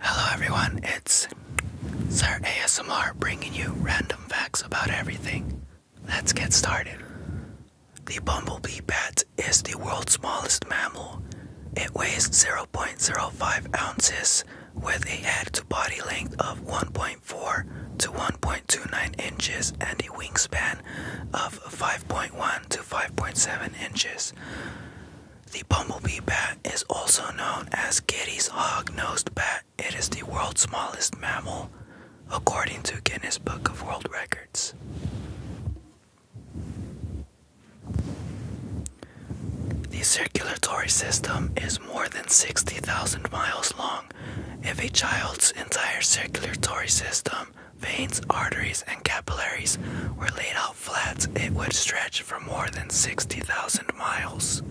Hello everyone, it's Sir ASMR bringing you random facts about everything. Let's get started. The bumblebee bat is the world's smallest mammal. It weighs 0.05 ounces with a head to body length of 1.4 to 1.29 inches and a wingspan of 5.1 to 5.7 inches. The bumblebee bat is also known as Kitty's hog nosed bat. It is the world's smallest mammal, according to Guinness Book of World Records. The circulatory system is more than 60,000 miles long. If a child's entire circulatory system veins, arteries, and capillaries were laid out flat, it would stretch for more than 60,000 miles.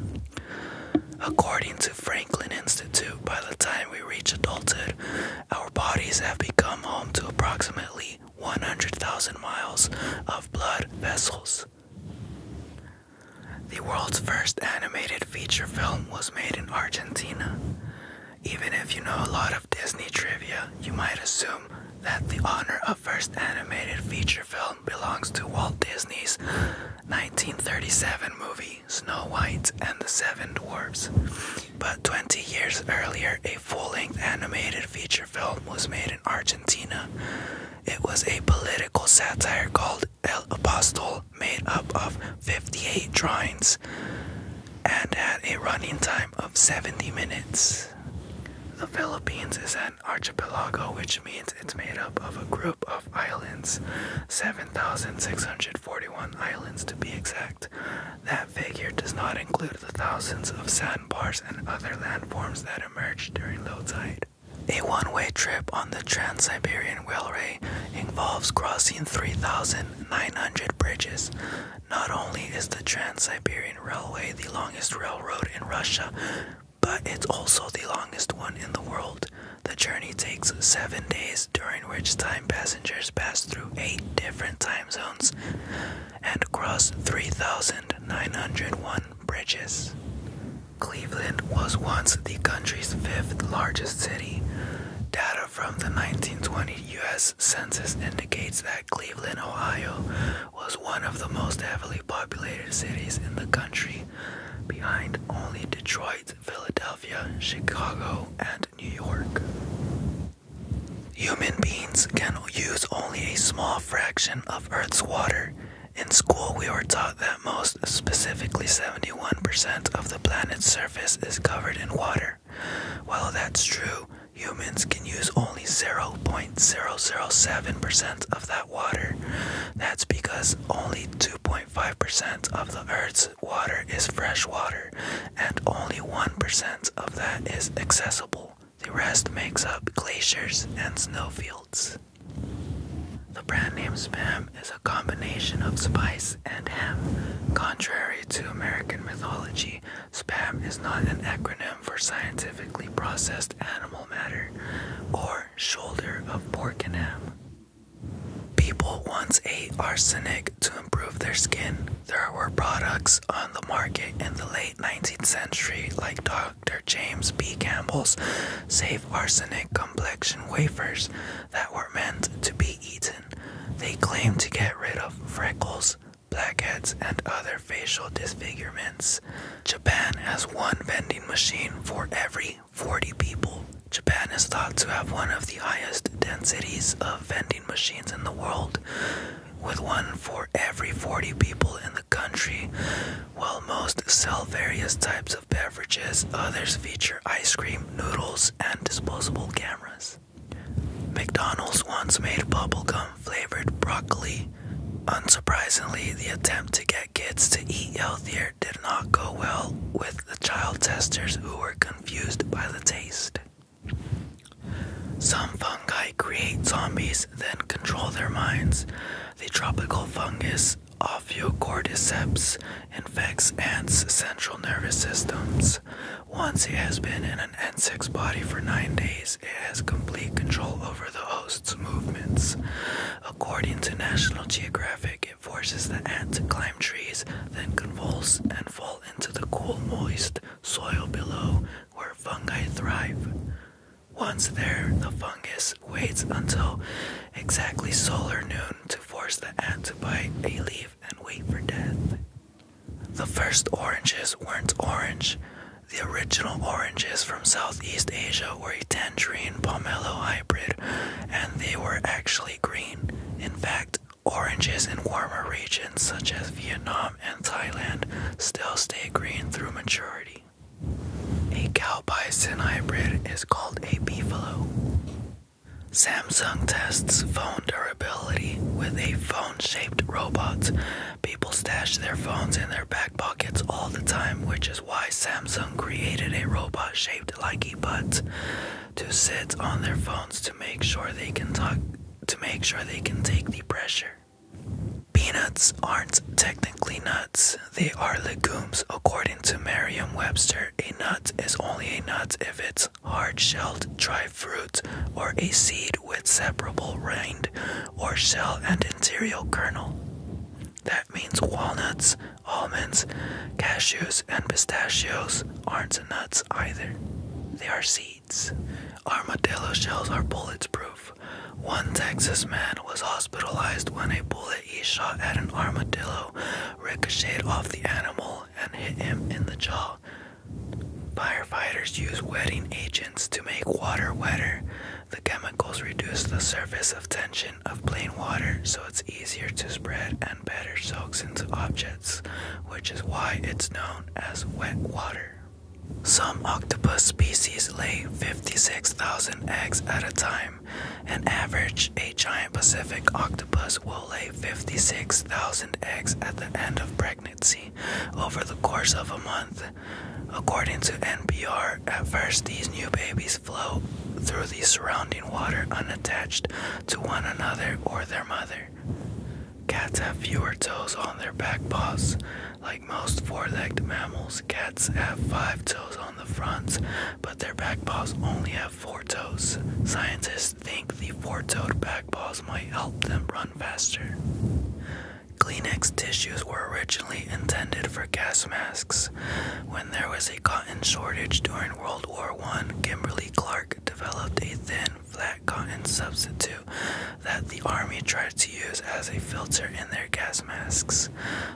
According to Franklin Institute, by the time we reach adulthood, our bodies have become home to approximately 100,000 miles of blood vessels. The world's first animated feature film was made in Argentina. Even if you know a lot of Disney trivia, you might assume that the honor of first animated feature film belongs to Walt Disney's 1937 movie Snow White and the Seven Dwarfs. But 20 years earlier, a full length animated feature film was made in Argentina. It was a political satire called El Apostol, made up of 58 drawings and had a running time of 70 minutes. The Philippines is an archipelago, which means it's made up of a group of islands, 7,641 islands to be exact. That figure does not include the thousands of sandbars and other landforms that emerge during low tide. A one way trip on the Trans Siberian Railway involves crossing 3,900 bridges, not only is the Trans Siberian Railway the longest railroad in Russia, but it's also the longest one in the world. The journey takes seven days, during which time passengers pass through eight different time zones and cross 3,901 bridges. Cleveland was once the country's fifth largest city. Data from the 1920s. The U.S. Census indicates that Cleveland, Ohio, was one of the most heavily populated cities in the country, behind only Detroit, Philadelphia, Chicago, and New York. Human beings can use only a small fraction of Earth's water. In school, we were taught that most, specifically 70 71% of the planet's surface is covered in water. While that's true, humans can use only 0.007% of that water. That's because only 2.5% of the Earth's water is fresh water, and only 1% of that is accessible. The rest makes up glaciers and snowfields. The brand name Spam is a combination of spice and ham. Contrary to American mythology, Spam is not an acronym for scientifically processed animal matter or shoulder of pork and ham. People once ate arsenic to improve their skin. There were products on the market in the late 19th century, like Dr. James B. Campbell's Safe Arsenic Complexion Wafers, that were meant to be eaten. They claim to get rid of freckles, blackheads, and other facial disfigurements. Japan has one vending machine for every 40 people. Japan is thought to have one of the highest densities of vending machines in the world, with one for every 40 people in the country. While most sell various types of beverages, others feature ice cream, noodles, and disposable cameras. McDonald's once made bubblegum flavored broccoli. Unsurprisingly, the attempt to get kids to eat healthier did not go well with the child testers who were confused by the taste. Some fungi create zombies, then control their minds. The tropical fungus Ophiocordyceps infects ants' central nervous systems. Once it has been in an ant's body for nine days, it has complete control over the host's movements. According to National Geographic, it forces the ant to climb trees, then convulse and fall into the cool, moist soil below where fungi thrive. Once there, the fungus waits until exactly solar noon to force the ant to bite a leaf and wait for death. The first oranges weren't orange. The original oranges from Southeast Asia were a tangerine pomelo hybrid, and they were actually green. In fact, oranges in warmer regions such as Vietnam and Thailand still stay green through maturity. A cow bison hybrid is called a beefalo. Samsung tests phone durability with a phone shaped robot. People stash their phones in their back pockets all the time, which is why Samsung created a robot shaped like a butt to sit on their phones to make sure they can talk to make sure they can take the pressure. Peanuts aren't technically nuts, they are legumes. According to Merriam Webster, a nut is only a nut if it's hard shelled, dry fruit, or a seed with separable rind or shell and interior kernel. That means walnuts, almonds, cashews, and pistachios aren't nuts either. They are seeds. Armadillo shells are bulletproof. One Texas man was hospitalized when a bullet he shot at an armadillo ricocheted off the animal and hit him in the jaw. Firefighters use wetting agents to make water wetter. The chemicals reduce the surface tension of plain water so it's easier to spread and better soaks into objects, which is why it's known as wet water. Some octopus species lay 56,000 eggs at a time. and average, a giant Pacific octopus will lay 56,000 eggs at the end of pregnancy over the course of a month. According to NPR, at first these new babies float through the surrounding water unattached to one another or their mother. Cats have fewer toes on their back paws. Like most four legged mammals, cats have five toes on the fronts, but their back paws only have four toes. Scientists think the four toed back paws might help them run faster. Kleenex tissues were originally intended for gas masks. When there was a cotton shortage during World War I, Kimberly Clark developed a thin, flat cotton substitute that the army tried to use as a filter in their gas masks.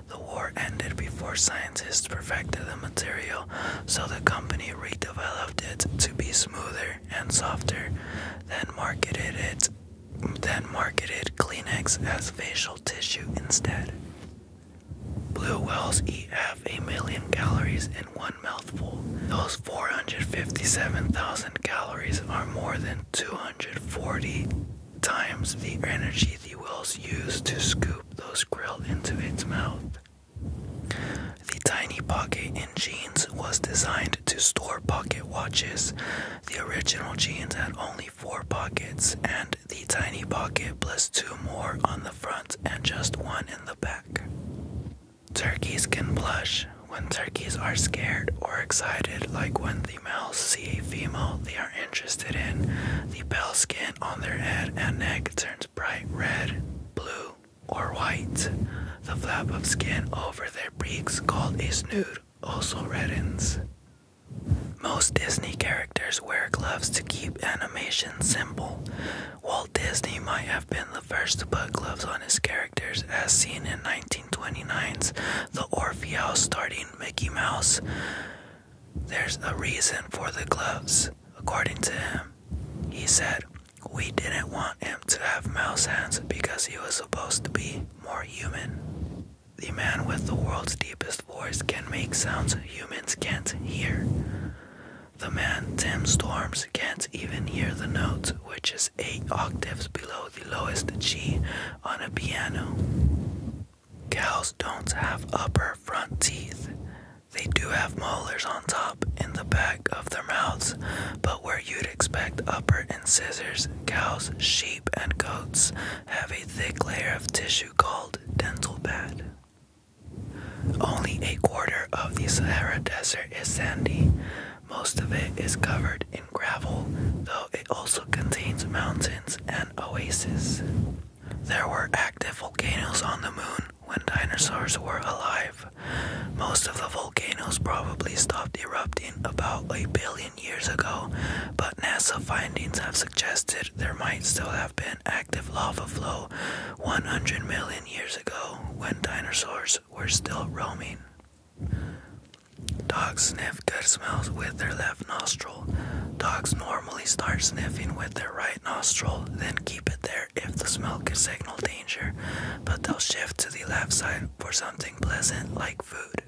The war ended before scientists perfected the material, so the company redeveloped it to be smoother and softer, then marketed it then marketed Kleenex as facial tissue instead. Blue whales eat half a million calories one mouthful. Those 457,000 calories are more than 240 times the energy the whales use to scoop those krill into its mouth. The tiny pocket in jeans was designed to store pocket watches. The original jeans had only four pockets, and the tiny pocket plus two more on the front and just one in the back. Turkeys can blush when turkeys are scared or excited, like when the males see a female they are interested in. The bell skin on their head and neck turns bright red, blue, or white. The flap of skin over their beaks, called a snood, also reddens. Most Disney characters wear gloves to keep animation simple. Walt Disney might have been the first to put gloves on his characters, as seen in 1929's The Orpheus starring Mickey Mouse. There's a reason for the gloves, according to him. He said, We didn't want him to have mouse hands because he was supposed to be more human. The man with the world's deepest voice can make sounds humans can't hear. The man Tim Storms can't even hear the note, which is eight octaves below the lowest G on a piano. Cows don't have upper front teeth. They do have molars on top and the back of their mouths, but where you'd expect upper incisors, cows, sheep, and goats have a thick layer of tissue called dental pad. Only a quarter of the Sahara Desert is sandy. Most of it is covered in gravel, though it also contains mountains and oases. There were active volcanoes on the moon when dinosaurs were alive. Most of the volcanoes probably stopped erupting about a billion years ago, but NASA findings have suggested there might still have been active lava flow 100 million years ago when dinosaurs were still roaming. Dogs sniff good smells with their left nostril. Dogs normally start sniffing with their right nostril, then keep it there if the smell could signal danger, but they'll shift to the left side for something pleasant like food.